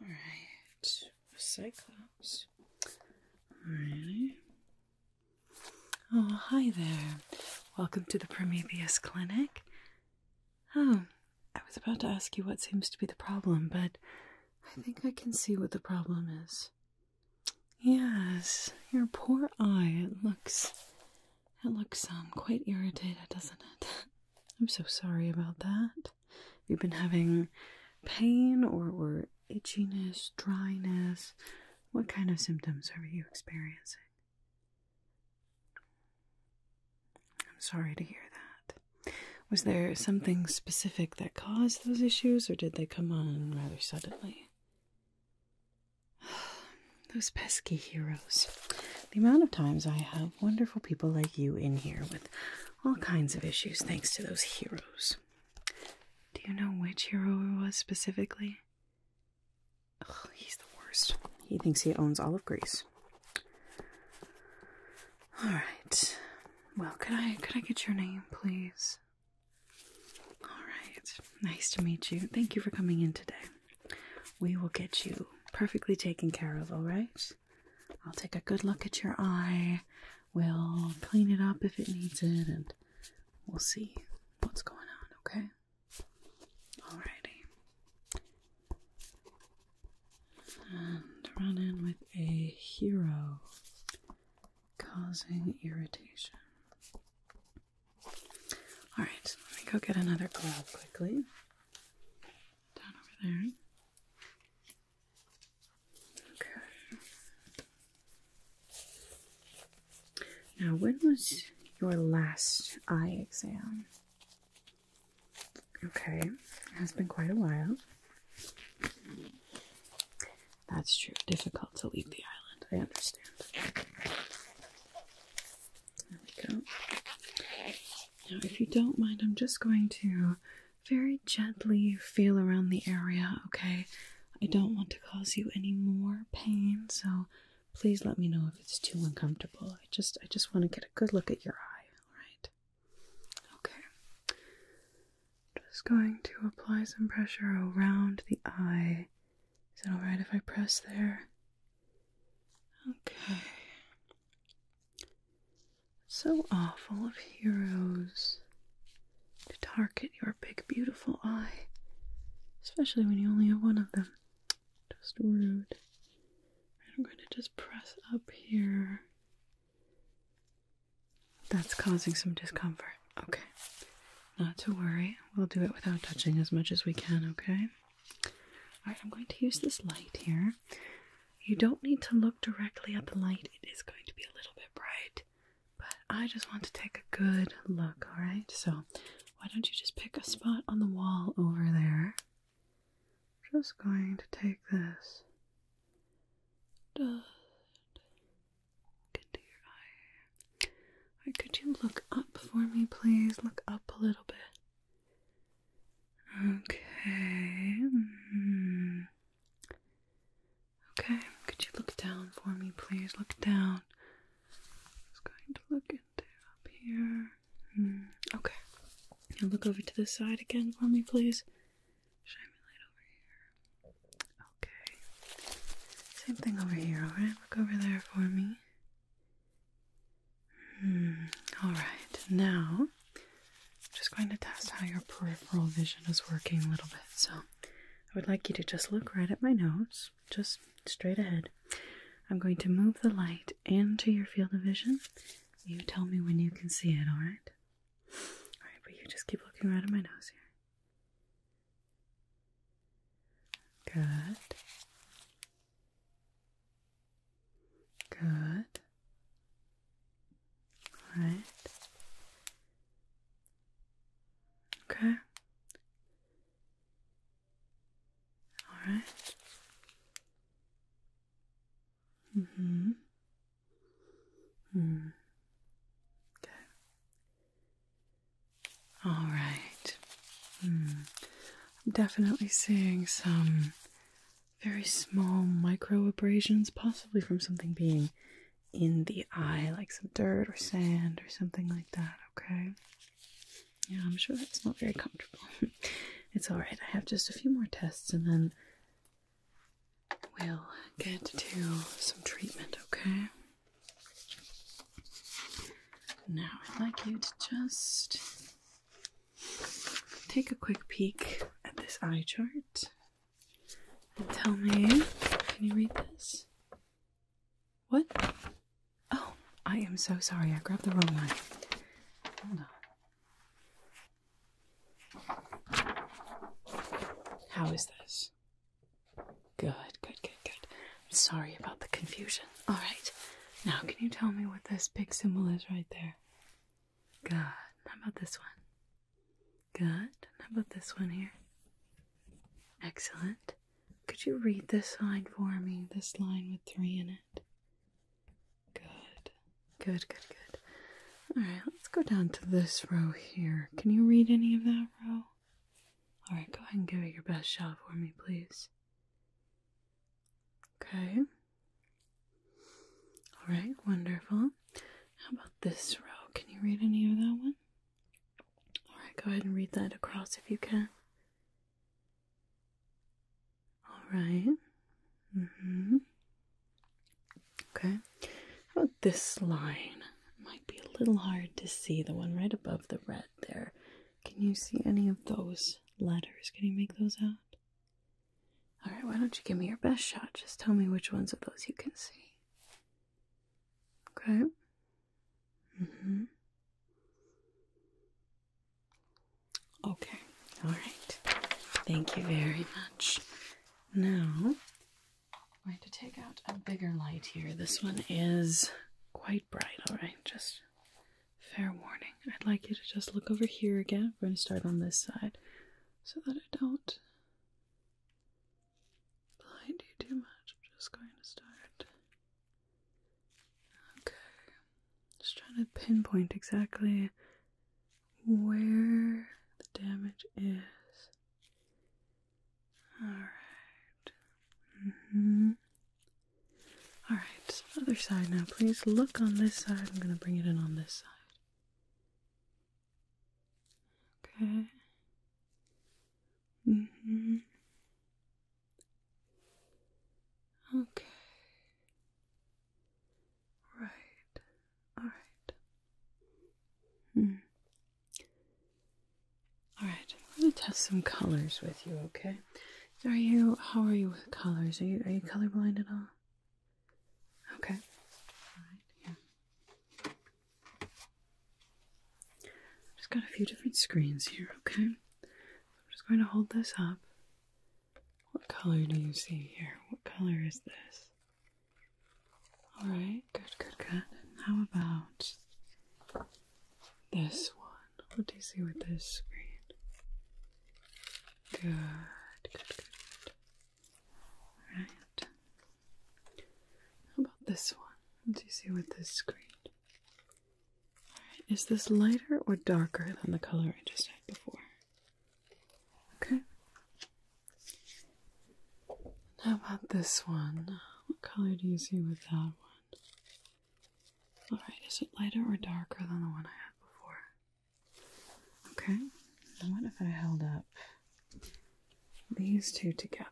All right, Cyclops. Oh, hi there. Welcome to the Prometheus Clinic. Oh, I was about to ask you what seems to be the problem, but I think I can see what the problem is. Yes, your poor eye. It looks, it looks um quite irritated, doesn't it? I'm so sorry about that. If you've been having pain or, or itchiness, dryness, what kind of symptoms are you experiencing? I'm sorry to hear that. Was there something specific that caused those issues, or did they come on rather suddenly? Those pesky heroes the amount of times I have wonderful people like you in here with all kinds of issues thanks to those heroes. Do you know which hero it was specifically? Oh, he's the worst. He thinks he owns all of Greece. All right. Well, could I could I get your name, please? All right. Nice to meet you. Thank you for coming in today. We will get you perfectly taken care of, all right? I'll take a good look at your eye. We'll clean it up if it needs it, and we'll see what's going on, okay? Alrighty. And run in with a hero causing irritation. Alright, let me go get another glove quickly down over there. Okay. Now, when was your last eye exam? Okay, it has been quite a while. That's true. Difficult to leave the island. I understand. There we go. Now, if you don't mind, I'm just going to very gently feel around the area, okay? I don't want to cause you any more pain, so please let me know if it's too uncomfortable. I just I just want to get a good look at your eye, all right? Okay. Just going to apply some pressure around the eye. Is it all right if I press there? Okay. So awful of heroes to target your big, beautiful eye, especially when you only have one of them. Just rude. I'm going to just press up here. That's causing some discomfort. Okay. Not to worry. We'll do it without touching as much as we can, okay? Alright, I'm going to use this light here. You don't need to look directly at the light, it is going to be a little bit bright, but I just want to take a good look, alright? So, why don't you just pick a spot on the wall over there? Just going to take this into your eye. could you look up for me, please? Look up a little bit. Okay. Mm-hmm. Okay, could you look down for me, please? Look down. Just going to look into up here. Mm-hmm. Okay. Now look over to the side again for me, please. Shine my light over here. Okay. Same thing over here, alright? Look over there for me. Hmm. All right, now I'm just going to test how your peripheral vision is working a little bit. So I would like you to just look right at my nose, just straight ahead. I'm going to move the light into your field of vision. You tell me when you can see it, all right? All right, but you just keep looking right at my nose here. Good. Good. All right. Okay. All right. Mm-hmm. Hmm. Okay. All right. Mm. I'm definitely seeing some very small micro abrasions, possibly from something being in the eye, like some dirt or sand or something like that, okay? Yeah, I'm sure that's not very comfortable. it's alright, I have just a few more tests and then we'll get to some treatment, okay? Now, I'd like you to just Take a quick peek at this eye chart and tell me can you read this? What? Oh, I am so sorry. I grabbed the wrong one. Hold on. How is this? Good, good, good, good. I'm sorry about the confusion. All right. Now, can you tell me what this big symbol is right there? Good. How about this one? Good. How about this one here? Excellent. Could you read this line for me? This line with three in it. Good. Good, good, good. All right, let's go down to this row here. Can you read any of that row? All right, go ahead and give it your best shot for me, please. Okay. All right, wonderful. How about this row? Can you read any of that one? All right, go ahead and read that across if you can. All right. Mm-hmm. Okay. How about this line? might be a little hard to see the one right above the red there. Can you see any of those letters? Can you make those out? All right, why don't you give me your best shot? Just tell me which ones of those you can see. Okay. Mm-hmm. Okay. All right. Thank you very much. Now, I'm going to take out a bigger light here. This one is quite bright. All right, just Fair warning. I'd like you to just look over here again. We're going to start on this side so that I don't blind you too much. I'm just going to start. Okay. Just trying to pinpoint exactly where the damage is. Alright. Mm-hmm. Alright, other side now. Please look on this side. I'm going to bring it in on this side. Okay. Mm hmm. Okay. Right. Alright. Hmm. Alright, I'm going to test some colors with you, okay? Are you? How are you with colors? Are you? Are you colorblind at all? Okay. All right. Here. Just got a few different screens here. Okay. I'm just going to hold this up. What color do you see here? What color is this? All right. Good. Good. Good. How about this one. What do you see with this screen? Good, good, good, Alright. How about this one? What do you see with this screen? Alright, is this lighter or darker than the color I just had before? Okay. How about this one? What color do you see with that one? Alright, is it lighter or darker than the one I had before? Okay, I wonder if I held up these two together?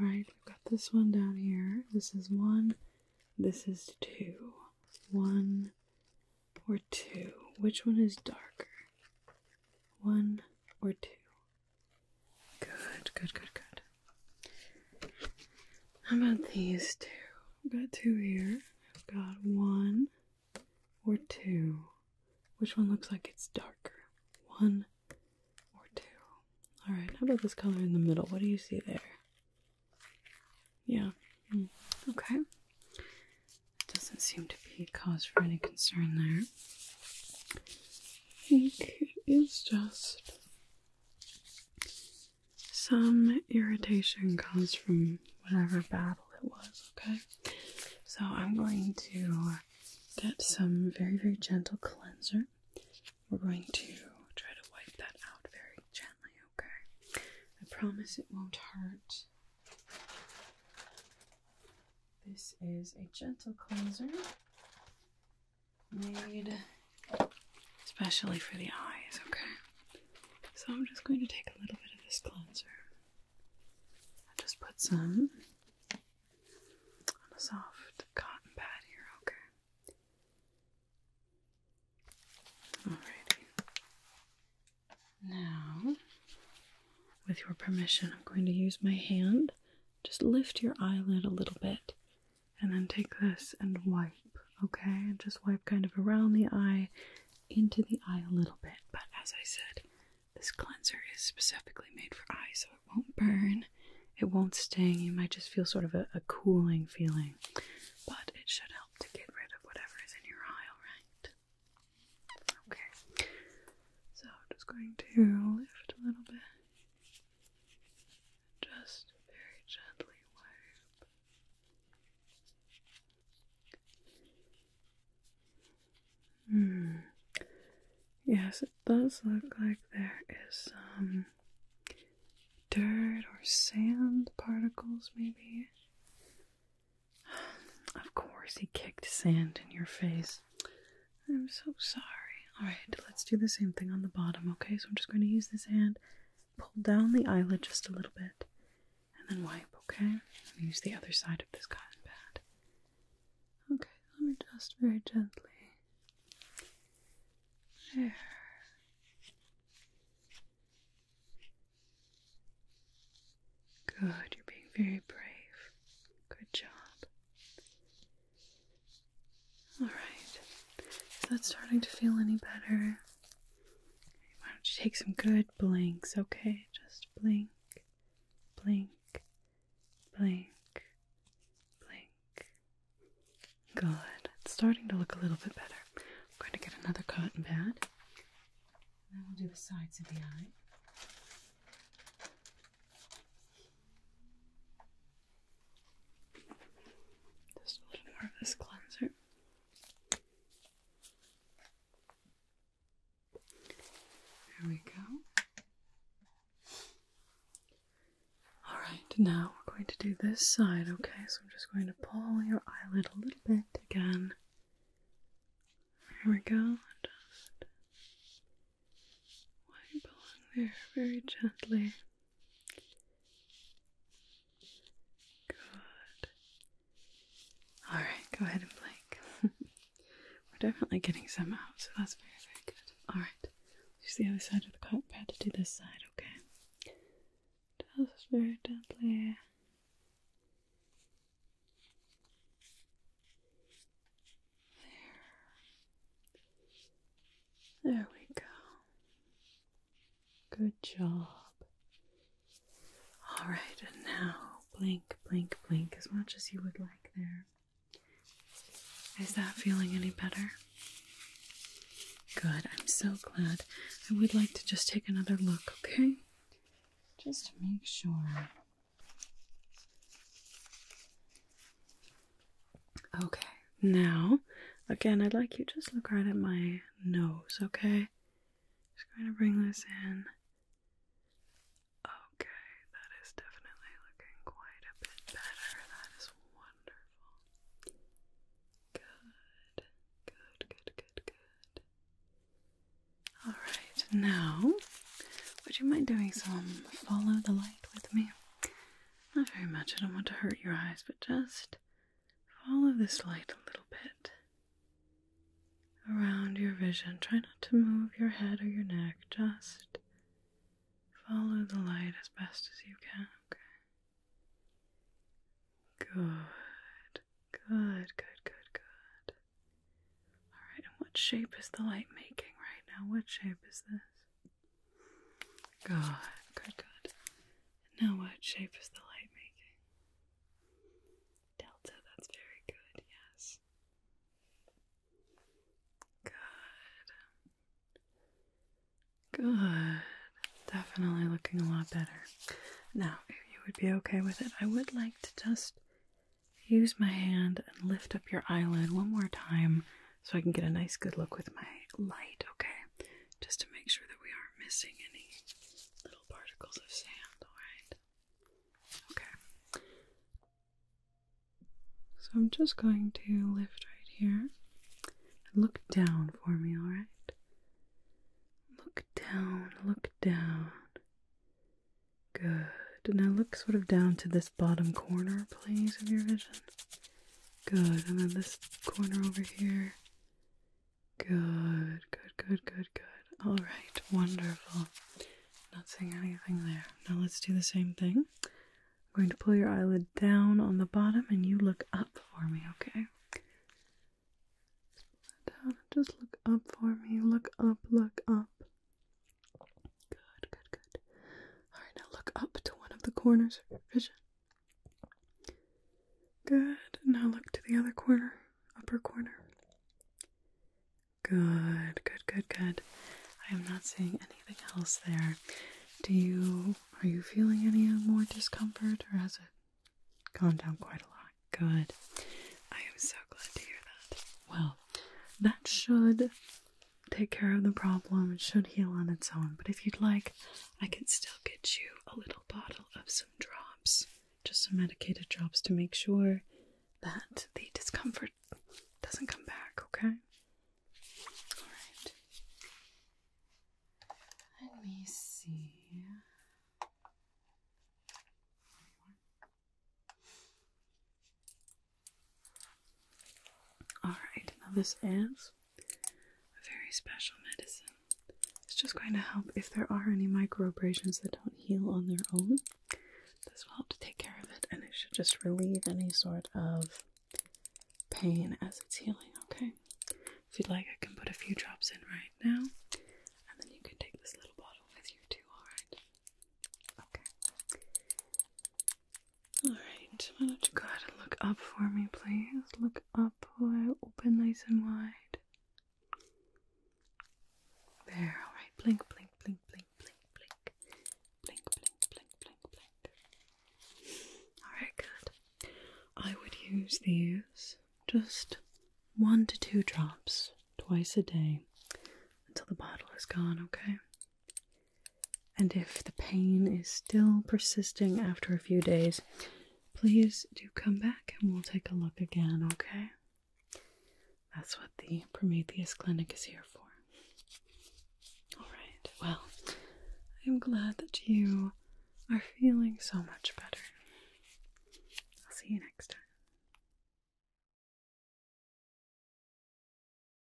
Alright, we've got this one down here. This is one, this is two. One or two. Which one is darker? One or two? Good, good, good, good. How about these two? I've got two here. I've got one or two. Which one looks like it's darker? One or two. Alright, how about this color in the middle? What do you see there? Yeah. Mm. Okay. Doesn't seem to be cause for any concern there. I think it is just some irritation comes from whatever battle it was, okay? So I'm going to get some very, very gentle cleanser. We're going to try to wipe that out very gently, okay? I promise it won't hurt. This is a gentle cleanser made especially for the eyes, okay? So I'm just going to take a little bit of this cleanser. i just put some on a soft cotton pad here, okay? Alrighty. Now, with your permission, I'm going to use my hand. Just lift your eyelid a little bit and then take this and wipe, okay? just wipe kind of around the eye, into the eye a little bit. But as I said, this cleanser is specifically made for eyes, so it won't burn, it won't sting, you might just feel sort of a, cooling feeling, but it should help to get rid of whatever is in your eye, alright? Okay, so I'm just going to lift a little bit. Just very gently wipe Hmm. Yes, it does look like there is some dirt or sand particles, maybe. Of course, he kicked sand in your face. I'm so sorry. Alright, let's do the same thing on the bottom, okay? So I'm just going to use this hand pull down the eyelid just a little bit and then wipe, okay? use the other side of this cotton pad. Okay, let me just very gently. There. Good, you're being very brave. Good job. Alright, is that starting to feel any better? Why don't you take some good blinks, okay? Just blink, blink, blink, blink. Good. It's starting to look a little bit better. I'm going to get another cotton pad. And then we'll do the sides of the eye. Just a little more of this cleanser. There we go. Alright, now we're going to do this side, okay? So I'm just going to pull your eyelid a little bit again. There we go. just wipe along there very gently. Good. All right, go ahead and blink. We're definitely getting some out, so that's very, very good. All right, use the other side of the cotton pad to do this side, okay? very gently. There. There we go. Good job. All right, and now blink, blink, blink as much as you would like there. Is that feeling any better? Good, I'm so glad. I would like to just take another look, okay? Just to make sure. Okay, now again, I'd like you just look right at my nose, okay? Just going to bring this in. Okay, that is definitely looking quite a bit better. That is wonderful. Good, good, good, good, good. All right, now, would you mind doing some follow the light with me? Not very much, I don't want to hurt your eyes, but just Follow this light a little bit around your vision. Try not to move your head or your neck, just follow the light as best as you can, okay? Good, good, good, good, good. Alright, and what shape is the light making right now? What shape is this? Good, good, good. Now, what shape is the light making? Delta, that's very good, yes. Good. Good. Definitely looking a lot better. Now, if you would be okay with it, I would like to just use my hand and lift up your eyelid one more time so I can get a nice good look with my light, okay? Just to make sure that we aren't missing any little particles of sand, alright? Okay. So I'm just going to lift right here and look down for me, alright? Look down, look down. Good. Now look sort of down to this bottom corner, please, of your vision. Good. And then this corner over here. Good, good, good, good, good. All right, wonderful. Not seeing anything there. Now let's do the same thing. I'm going to pull your eyelid down on the bottom and you look up for me, okay? Down just look up for me. Look up, look up. Good, good, good. All right, now look up to one of the corners vision. Good. Now look to the other corner, upper corner. Good, good, good, good. I am not seeing anything else there. Do you are you feeling any more discomfort or has it gone down quite a lot? Good. I am so glad to hear that. Well, that should take care of the problem. It should heal on its own. But if you'd like, I can still get you a little bottle of some drops, just some medicated drops to make sure that the discomfort doesn't come back, okay? Alright. Let me see. Alright, now this is a very special medicine. It's just going to help if there are any microabrasions that don't heal on their own. This will help to take care of it, and it should just relieve any sort of pain as it's healing, okay? If you'd like, I can put a few drops in right now, and then you can take this little bottle with you too, alright? Okay. Alright, why don't you go ahead and look up for me, please? Look up, open nice and wide. There, alright. Blink, blink, blink, blink, blink, blink. Blink, blink, blink, blink, blink. Alright, good. I would use these just one to two drops twice a day until the bottle is gone, okay? And if the pain is still persisting after a few days, please do come back and we'll take a look again, okay? That's what the Prometheus Clinic is here for. Alright, well, I'm glad that you are feeling so much better. I'll see you next time.